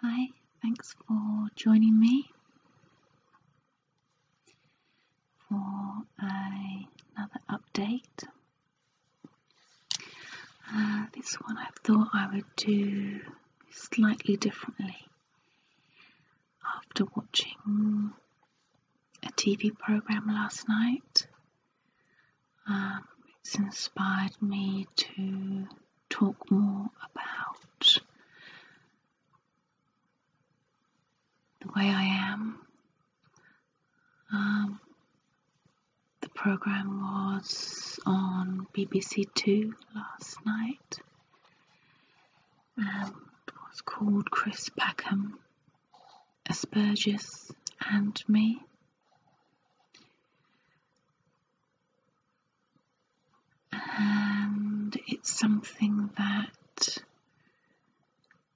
Hi, thanks for joining me for another update. Uh, this one I thought I would do slightly differently after watching a TV program last night um, it's inspired me to talk more about the way I am. Um, the program was on BBC Two last night and was called Chris Packham, Asperger's and Me. And it's something that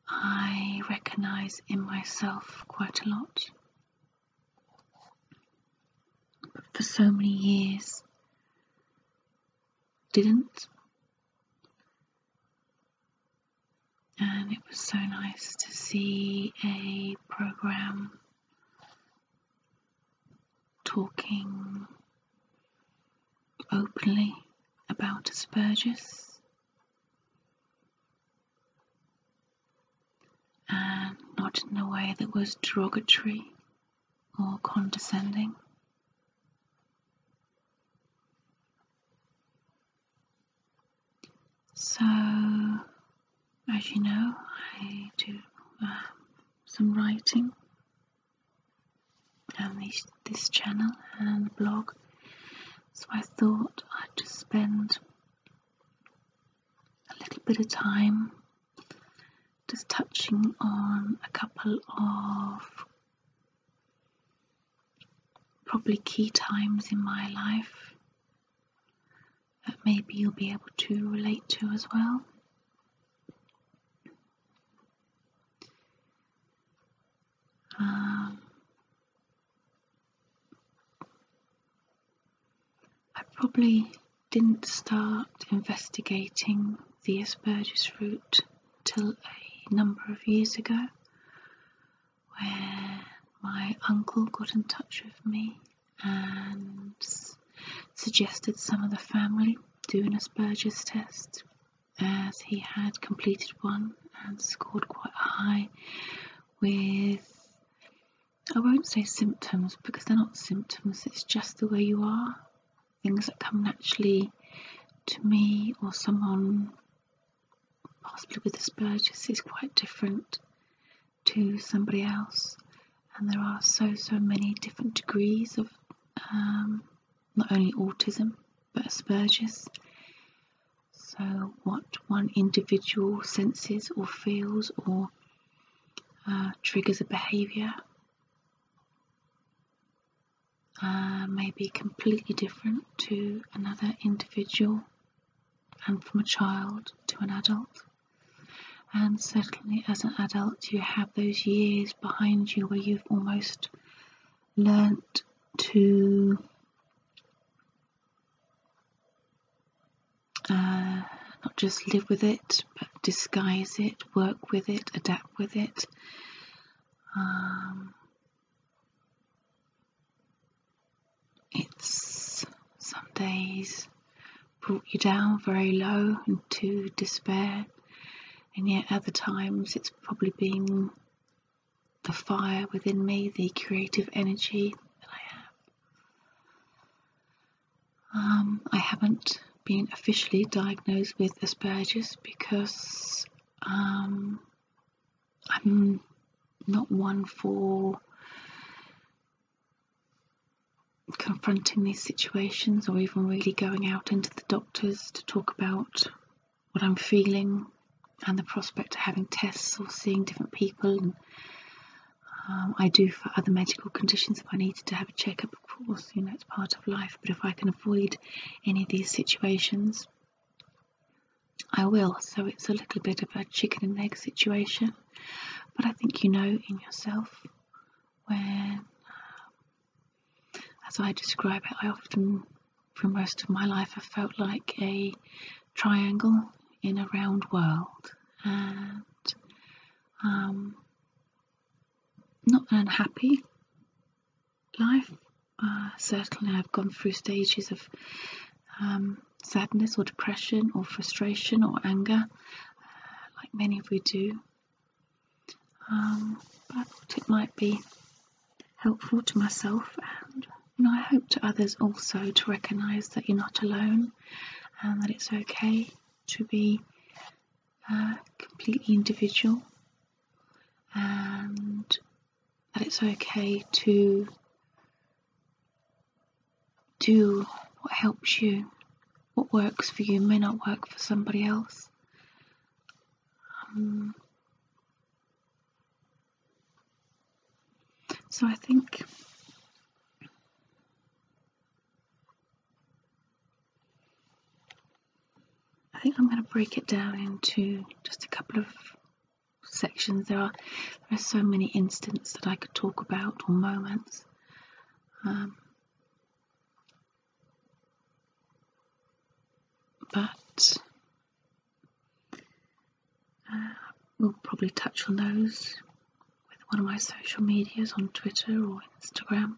I recognize in myself quite a lot. But for so many years, didn't and it was so nice to see a program talking openly about Asperger's and not in a way that was derogatory or condescending. So, as you know, I do um, some writing on this channel and blog. So I thought I'd just spend a little bit of time just touching on a couple of probably key times in my life that maybe you'll be able to relate to as well. Um, I probably didn't start investigating the Asperger's route till a number of years ago where my uncle got in touch with me and suggested some of the family doing a Spurgis test as he had completed one and scored quite high with I won't say symptoms because they're not symptoms, it's just the way you are. Things that come naturally to me or someone possibly with Asperger's is quite different to somebody else and there are so so many different degrees of um, not only autism but Asperger's so what one individual senses or feels or uh, triggers a behaviour uh, may be completely different to another individual and from a child to an adult. And certainly, as an adult, you have those years behind you where you've almost learnt to uh, not just live with it, but disguise it, work with it, adapt with it. Um, it's some days brought you down very low into despair, and yet other times it's probably been the fire within me, the creative energy that I have. Um, I haven't been officially diagnosed with Asperger's because um, I'm not one for confronting these situations or even really going out into the doctors to talk about what I'm feeling and the prospect of having tests or seeing different people. Um, I do for other medical conditions if I needed to have a checkup, of course, you know, it's part of life. But if I can avoid any of these situations, I will, so it's a little bit of a chicken and egg situation. But I think you know in yourself when, as I describe it, I often, for most of my life, I felt like a triangle in a round world. And um, not an unhappy life, uh, certainly, I've gone through stages of um, sadness or depression or frustration or anger, uh, like many of you do. Um, but I thought it might be helpful to myself and I hope to others also to recognise that you're not alone and that it's okay to be uh, completely individual and that it's okay to do what helps you. What works for you may not work for somebody else. Um, so I think I think I'm going to break it down into just a couple of sections. There are there are so many instances that I could talk about or moments. Um, but uh, we'll probably touch on those with one of my social medias on Twitter or Instagram.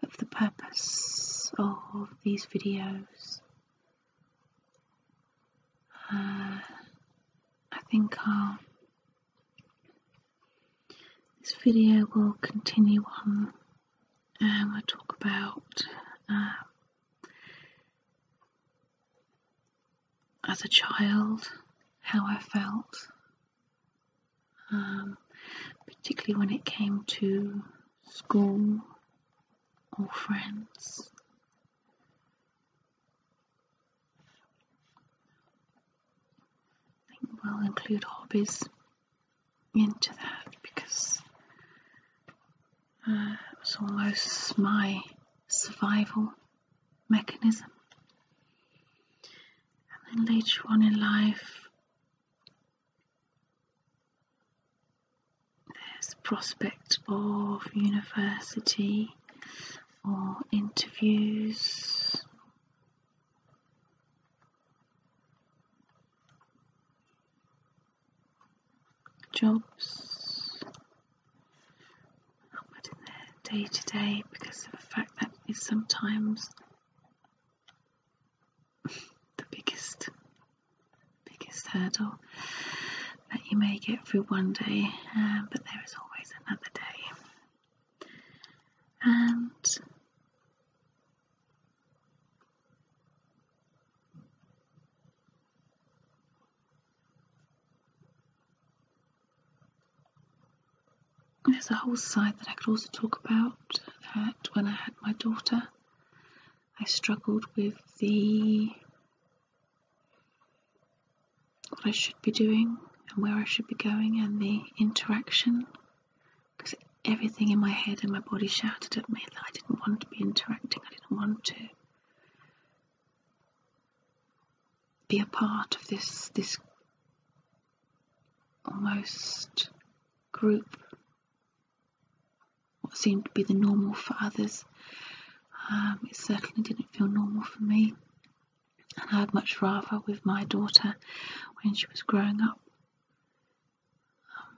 But for the purpose of these videos, uh, I think um, this video will continue on and um, we'll talk about um, as a child how I felt, particularly when it came to school or oh, friends. I think we'll include hobbies into that because uh, it was almost my survival mechanism. And then later on in life, there's prospect of university or interviews. Jobs, not in their day to day because of the fact that is sometimes the biggest biggest hurdle that you make get through one day, um, but there is always another day. And there's a whole side that I could also talk about that when I had my daughter. I struggled with the what I should be doing and where I should be going and the interaction because everything in my head and my body shouted at me that I didn't want to be interacting, I didn't want to be a part of this this almost group what seemed to be the normal for others. Um, it certainly didn't feel normal for me, and I'd much rather with my daughter when she was growing up um,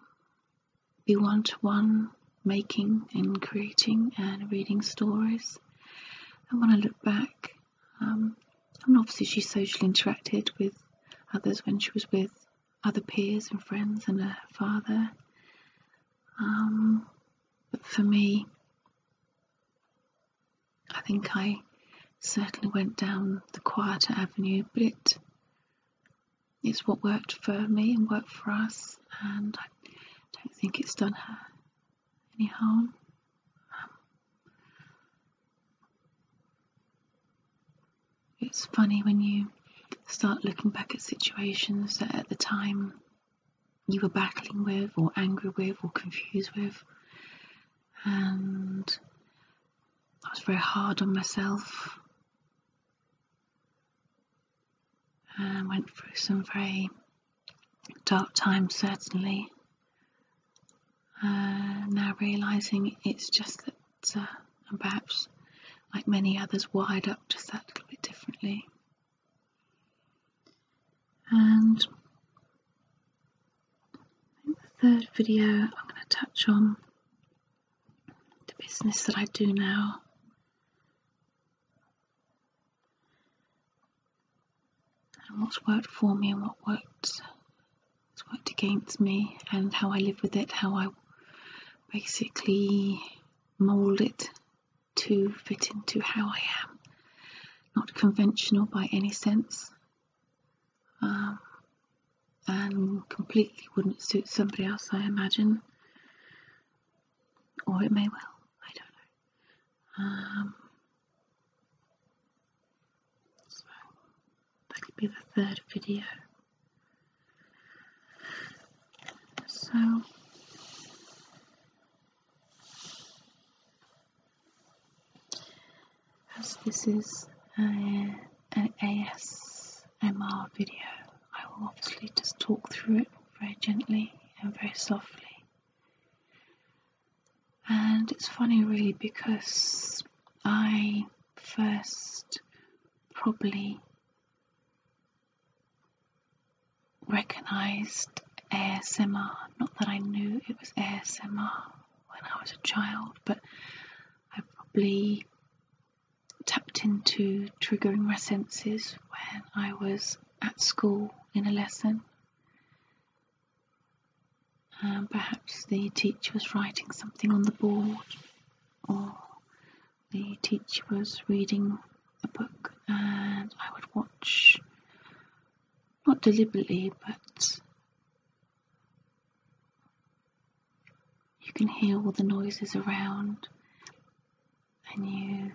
be one to one making and creating and reading stories. I want to look back, um, obviously she socially interacted with others when she was with other peers and friends and a father. Um, but for me, I think I certainly went down the quieter avenue, but it's what worked for me and worked for us, and I don't think it's done her any harm. Um, it's funny when you start looking back at situations that at the time you were battling with, or angry with, or confused with, and I was very hard on myself and went through some very dark times, certainly. Uh, now realizing it's just that answer, uh, and perhaps, like many others, wired up just that little bit differently. And the third video I'm going to touch on the business that I do now. And what's worked for me and what worked what's worked against me and how I live with it, how I basically Mold it to fit into how I am. Not conventional by any sense. Um, and completely wouldn't suit somebody else, I imagine. Or it may well, I don't know. Um, so that'll be the third video. So as this is an ASMR video, I will obviously just talk through it very gently and very softly. And it's funny, really, because I first probably recognized ASMR. Not that I knew it was ASMR when I was a child, but I probably tapped into triggering my senses when I was at school in a lesson. Um, perhaps the teacher was writing something on the board or the teacher was reading a book and I would watch, not deliberately, but you can hear all the noises around and you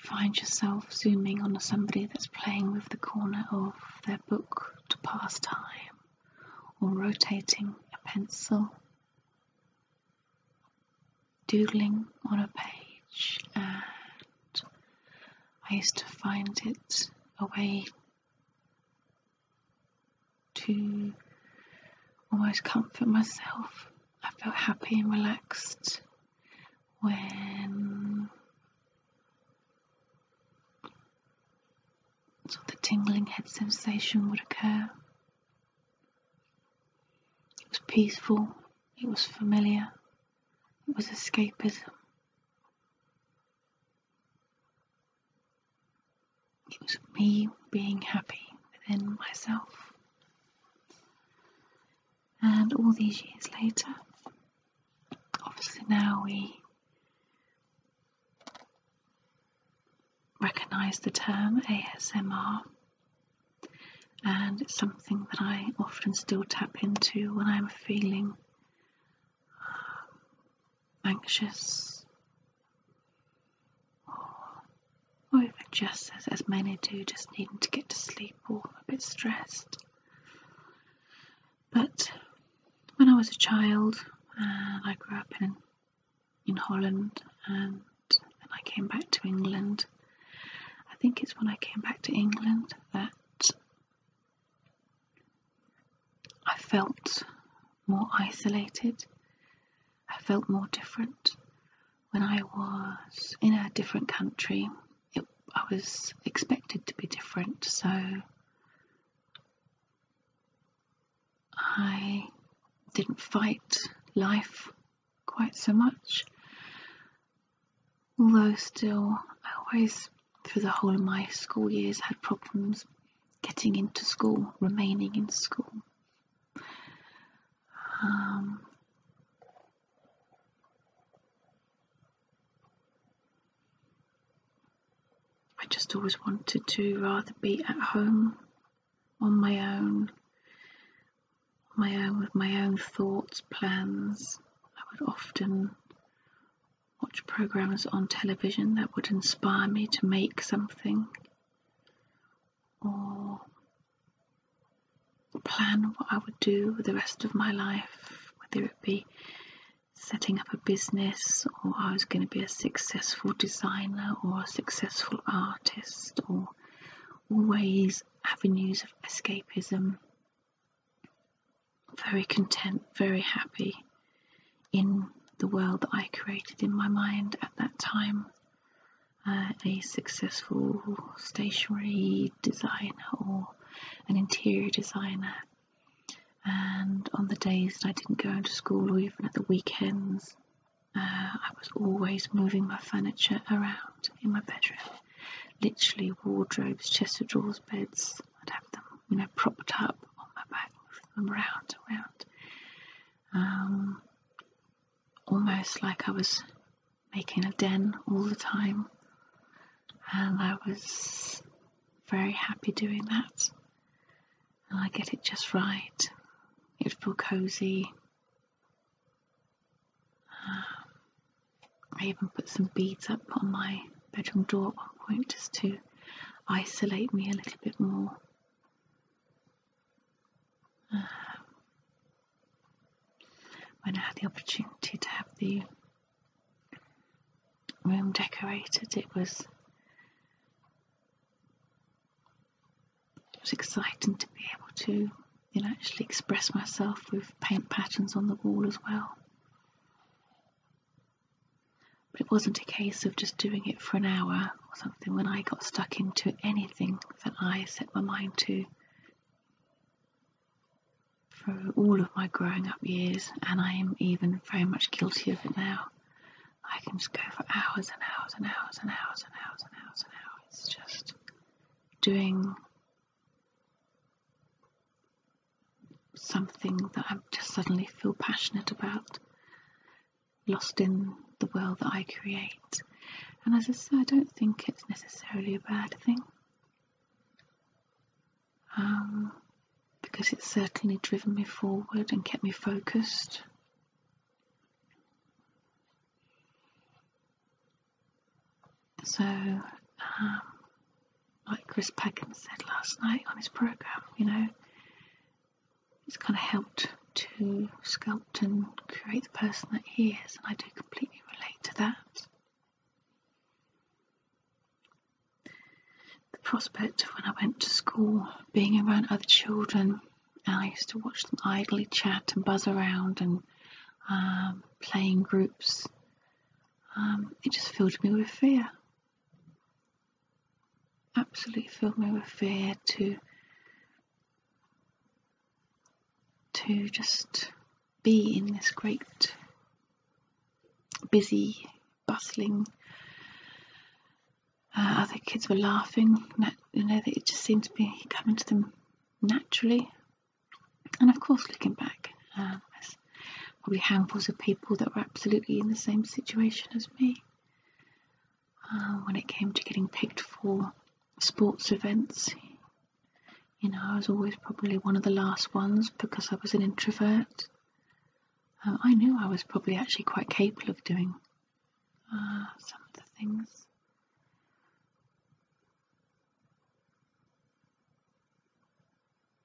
find yourself zooming on somebody that's playing with the corner of their book to pass time or rotating a pencil doodling on a page, and I used to find it a way to almost comfort myself. I felt happy and relaxed when so the tingling head sensation would occur. It was peaceful, it was familiar, it was escapism. It was me being happy within myself. And all these years later, obviously now we recognize the term ASMR, and it's something that I often still tap into when I'm feeling um, anxious or, or even just as, as many do, just needing to get to sleep or a bit stressed. But when I was a child and I grew up in in Holland and then I came back to England. I think it's when I came back to England that I felt more isolated. I felt more different. When I was in a different country, I was expected to be different, so I didn't fight life quite so much. Although, still, I always, through the whole of my school years, had problems getting into school, remaining in school. Um, I just always wanted to rather be at home on my own, my own with my own thoughts, plans. I would often watch programs on television that would inspire me to make something or plan what I would do the rest of my life, whether it be setting up a business or I was going to be a successful designer or a successful artist or always avenues of escapism. Very content, very happy in the world that I created in my mind at that time. Uh, a successful stationery designer or an interior designer and on the days that I didn't go into school or even at the weekends, uh, I was always moving my furniture around in my bedroom. Literally wardrobes, chest of drawers, beds. I'd have them, you know, propped up on my back, moved them around, around. Um, almost like I was making a den all the time. And I was very happy doing that and oh, I get it just right. It feels cozy. Um, I even put some beads up on my bedroom door at one point just to isolate me a little bit more. Um, when I had the opportunity to have the room decorated, it was it was exciting to be able to actually express myself with paint patterns on the wall as well. But it wasn't a case of just doing it for an hour or something when I got stuck into anything that I set my mind to. through all of my growing up years, and I am even very much guilty of it now. I can just go for hours and hours and hours and hours and hours and hours and hours just doing something that I just suddenly feel passionate about, lost in the world that I create. And as I said, I don't think it's necessarily a bad thing. Um, because it's certainly driven me forward and kept me focused. So, um, like Chris Packham said last night on his program, you know, it's kind of helped to sculpt and create the person that he is, and I do completely relate to that the prospect of when I went to school being around other children, and I used to watch them idly chat and buzz around and um, play in groups, um, it just filled me with fear. Absolutely filled me with fear to to just be in this great busy, bustling. Uh, other kids were laughing. You know, it just seemed to be coming to them naturally. And of course, looking back, there uh, there's probably handfuls of people that were absolutely in the same situation as me uh, when it came to getting picked for sports events. You know, I was always probably one of the last ones because I was an introvert. Uh, I knew I was probably actually quite capable of doing uh, some of the things.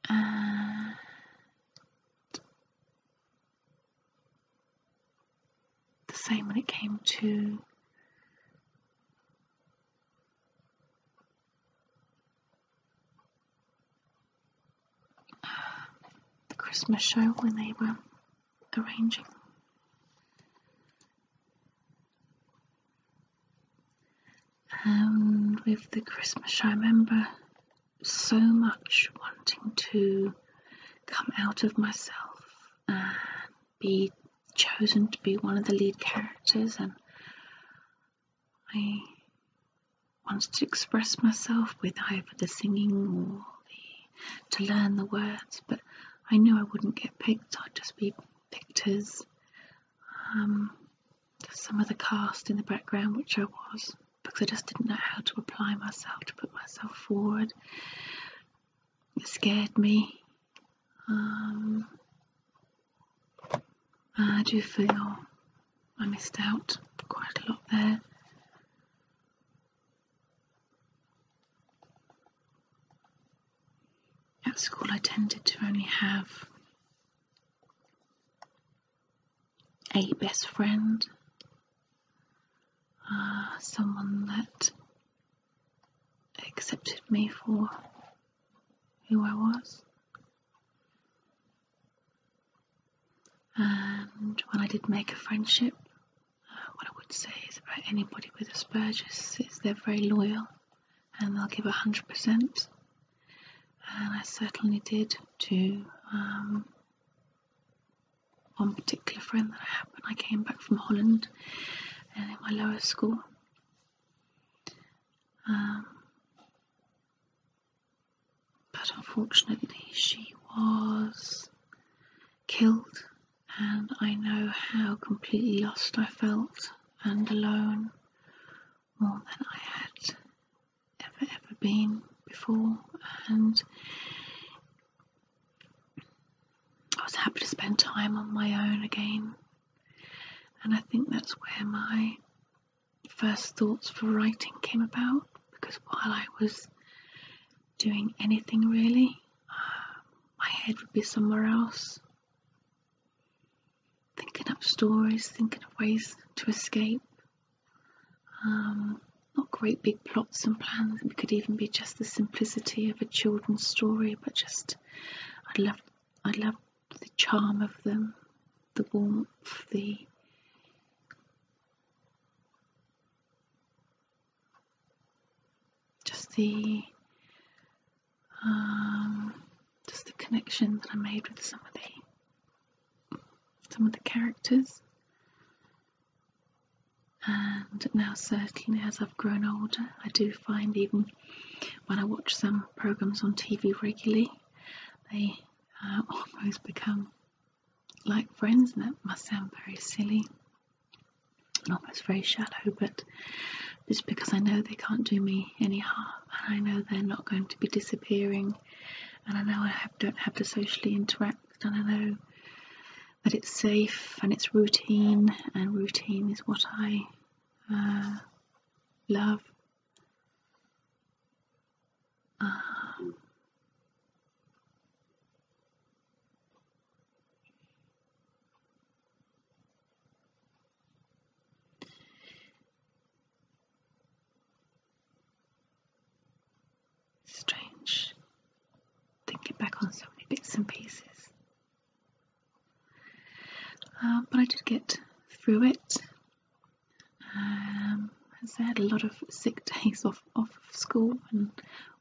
Uh, the same when it came to the Christmas show when they were arranging. And with the Christmas show, I remember so much wanting to come out of myself and be chosen to be one of the lead characters and I wanted to express myself with either the singing or the, to learn the words, but I knew I wouldn't get picked, I'd just be pictures. Um, some of the cast in the background, which I was, because I just didn't know how to apply myself to put myself forward. It scared me. Um, I do feel I missed out quite a lot there. At school, I tended to only have a best friend, uh, someone that accepted me for who I was. And when I did make a friendship, uh, what I would say is about anybody with Asperger's is they're very loyal and they'll give 100%. And I certainly did to um, one particular friend that I had when I came back from Holland and in my lower school. Um, but unfortunately, she was killed, and I know how completely lost I felt and alone more than I had ever, ever been before. And I was happy to spend time on my own again. And I think that's where my first thoughts for writing came about because while I was doing anything really, uh, my head would be somewhere else. Thinking up stories, thinking of ways to escape. Um, not great big plots and plans, it could even be just the simplicity of a children's story, but just I'd love, I'd love the charm of them, the warmth, the just the um, just the connection that I made with some of the some of the characters. And now, certainly, as I've grown older, I do find even when I watch some programs on TV regularly, they uh, almost become like friends, that must sound very silly and almost very shallow, but just because I know they can't do me any harm, and I know they're not going to be disappearing, and I know I don't have to socially interact, and I know that it's safe and it's routine, and routine is what I uh, love strange thinking back on so many bits and pieces. Uh, but I did get through it. Um, I had a lot of sick days off, off school and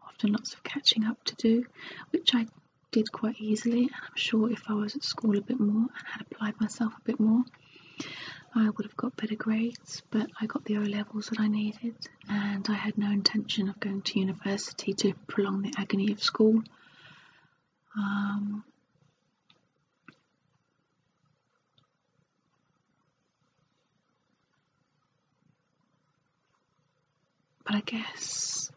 often lots of catching up to do, which I did quite easily. And I'm sure if I was at school a bit more and had applied myself a bit more, I would have got better grades. But I got the O levels that I needed, and I had no intention of going to university to prolong the agony of school. Um, but I guess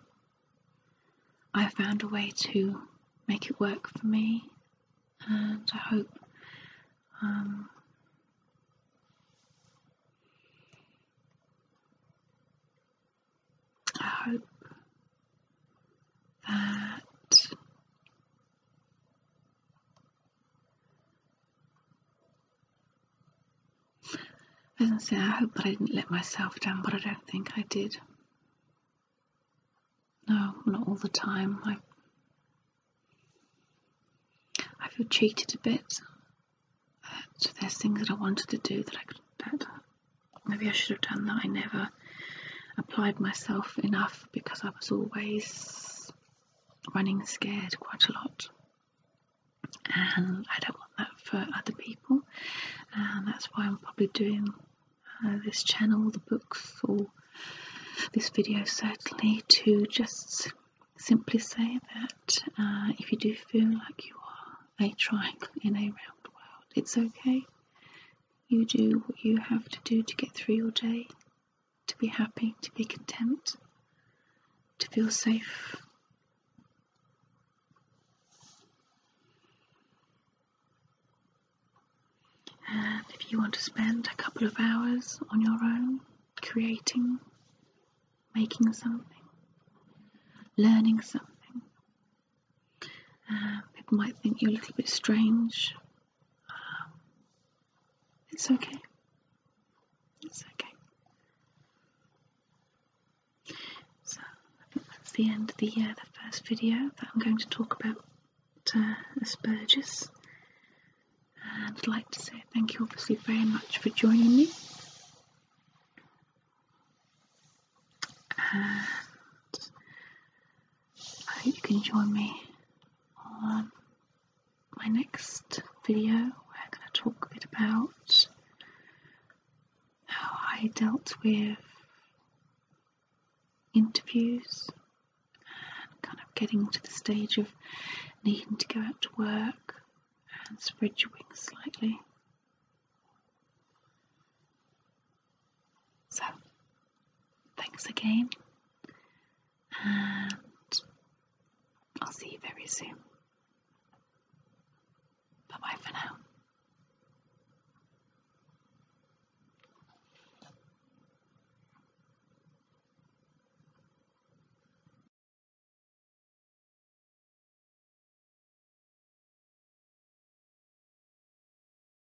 I found a way to make it work for me, and I hope um, I hope that i hope that I didn't let myself down, but I don't think I did. No, not all the time. I, feel cheated a bit. So there's things that I wanted to do that I could. That maybe I should have done that I never applied myself enough because I was always running scared quite a lot. And I don't want that for other people, and that's why I'm probably doing uh, this channel, the books, or this video certainly to just simply say that uh, if you do feel like you are a triangle in a round world, it's okay. You do what you have to do to get through your day, to be happy, to be content, to feel safe. And if you want to spend a couple of hours on your own, creating, making something, learning something, uh, people might think you're a little bit strange it's okay. It's okay. So, that's the end of the, uh, the first video that I'm going to talk about uh, Asperger's. And I'd like to say thank you obviously very much for joining me. I hope you can join me on my next video where I'm going to talk a bit about how I dealt with interviews and kind of getting to the stage of needing to go out to work and spread your wings slightly. So, Thanks again, and I'll see you very soon. Bye bye for now.